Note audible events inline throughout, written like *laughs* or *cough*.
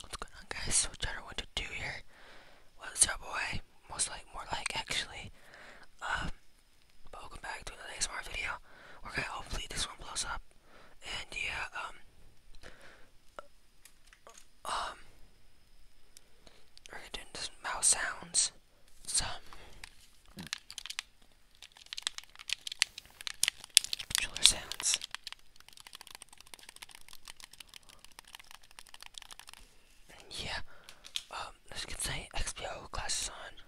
What's going on guys? So Jenner one to two here. What's up boy? Most like more like actually. Um welcome back to another ASMR video. We're gonna hopefully this one blows up. And yeah, um, um, we're doing some mouse sounds. Some. Controller sounds. yeah, um, let's get some XPO glasses on.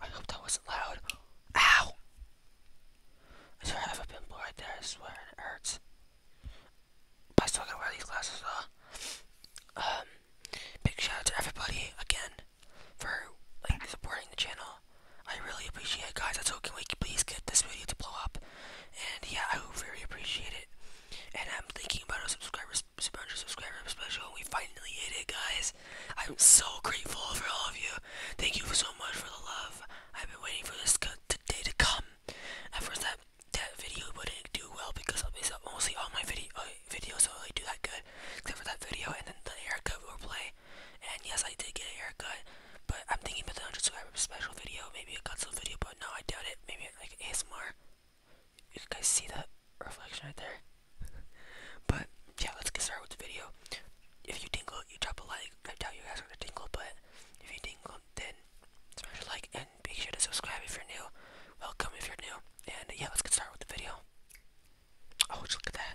I hope that wasn't loud. Ow! I swear have a pimple there, I swear, it hurts. But I still gotta wear these glasses Um, big shout out to everybody again for like supporting the channel. I really appreciate it, guys. So can we please get this video to blow up? And yeah, I really appreciate it. And I'm thinking about a subscriber, 100 subscriber special. We finally hit it, guys. I'm so grateful for all of you. Thank you so much for the love. I've been waiting for this day to come. At first, that that video wouldn't do well because I'll mostly all my video uh, videos don't really do that good, except for that video and then the haircut play. And yes, I did get a haircut, but I'm thinking about the 100 subscriber special video, maybe a cutsaw video, but no, I doubt it. Maybe like ASMR. You guys see the reflection right there? but yeah, let's get started with the video. If you dingle, you drop a like. I doubt you guys are gonna dingle, but if you dingle, then smash a like and be sure to subscribe if you're new. Welcome if you're new. And yeah, let's get started with the video. Oh, look at that.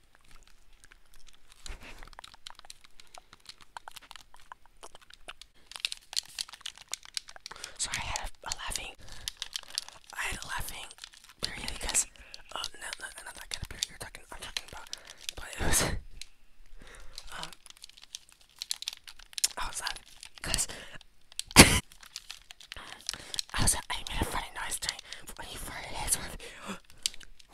So I had a, a laughing, I had a laughing period because, oh no, no, not that kind of period you're talking, I'm talking about, but it was, *laughs* um, I was laughing because *laughs* I was, I made a funny noise during when he farted his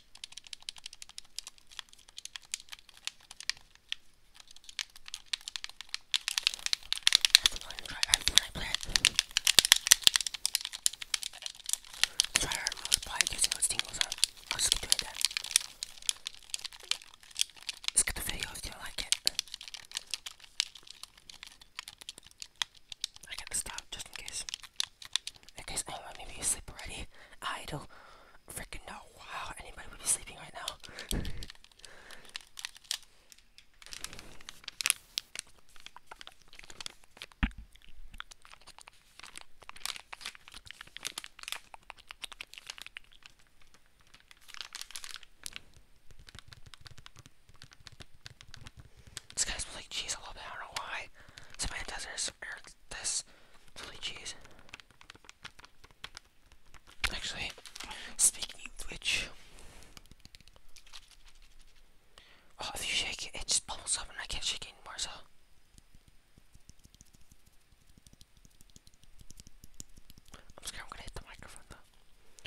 That's one dry herb that I plant. Dry herb was probably using those tingles herb. I'll just keep doing that. Skip the video if you don't like it. I gotta stop just in case guys, I don't maybe you sleep already. I freaking know how anybody would be sleeping right now. This guy like cheese a little bit, I don't know why. Somebody does this this. Holy jeez. Actually, speaking of which, oh, if you shake it, it just bubbles up and I can't shake anymore, so. I'm scared I'm gonna hit the microphone though.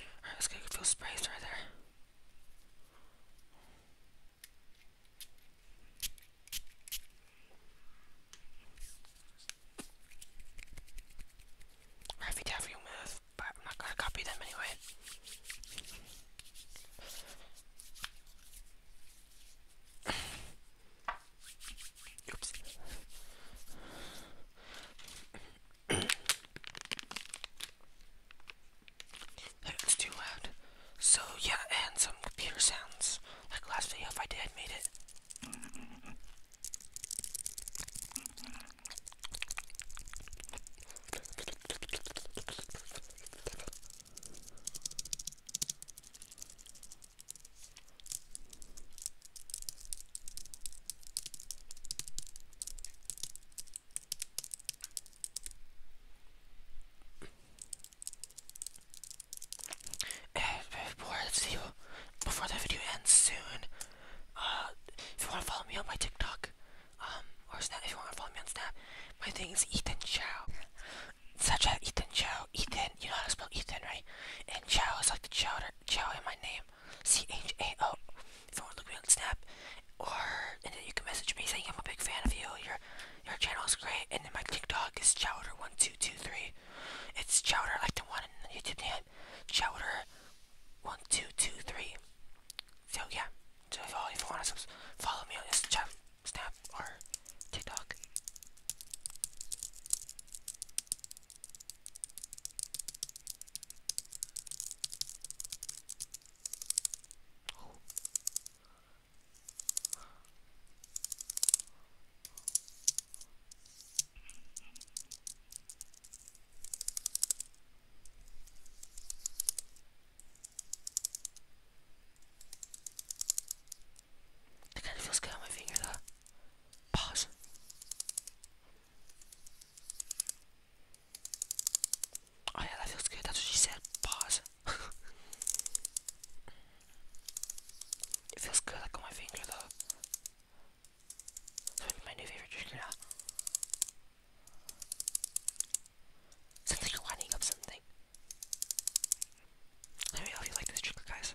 Alright, let's go feel sprays right there. Raffy Daffy will move, but I'm not gonna copy them anyway. Oops. *coughs* That's too loud. So yeah, and some computer sounds. Like last video, if I did, made it before this video, before the video ends soon, uh, if you want to follow me on my TikTok, um, or Snap, if you want to follow me on Snap, my thing is Ethan Chow. Such a Ethan Chow. Ethan, you know how to spell Ethan, right? And Chow is like the chowder, Chow in my name. C H A O. If you want to look me on Snap, or and then you can message me saying I'm a big fan of you. Your channel is great, and then my TikTok is chowder1223. It's chowder like the one in the YouTube name, chowder1223. So yeah, so if, if you want to follow me on Instagram, Snap, or TikTok. It kind of feels good on my finger though. Pause. Oh yeah, that feels good. That's what she said. Pause. *laughs* it. feels good like on my finger though. It's my new favorite drink now. like you're up something. Let me like this trigger, guys.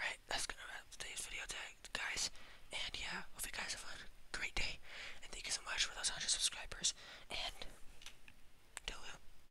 Alright, that's gonna wrap today's video tag, guys. And yeah, hope you guys have a great day. And thank you so much for those 100 subscribers. And, toodaloo.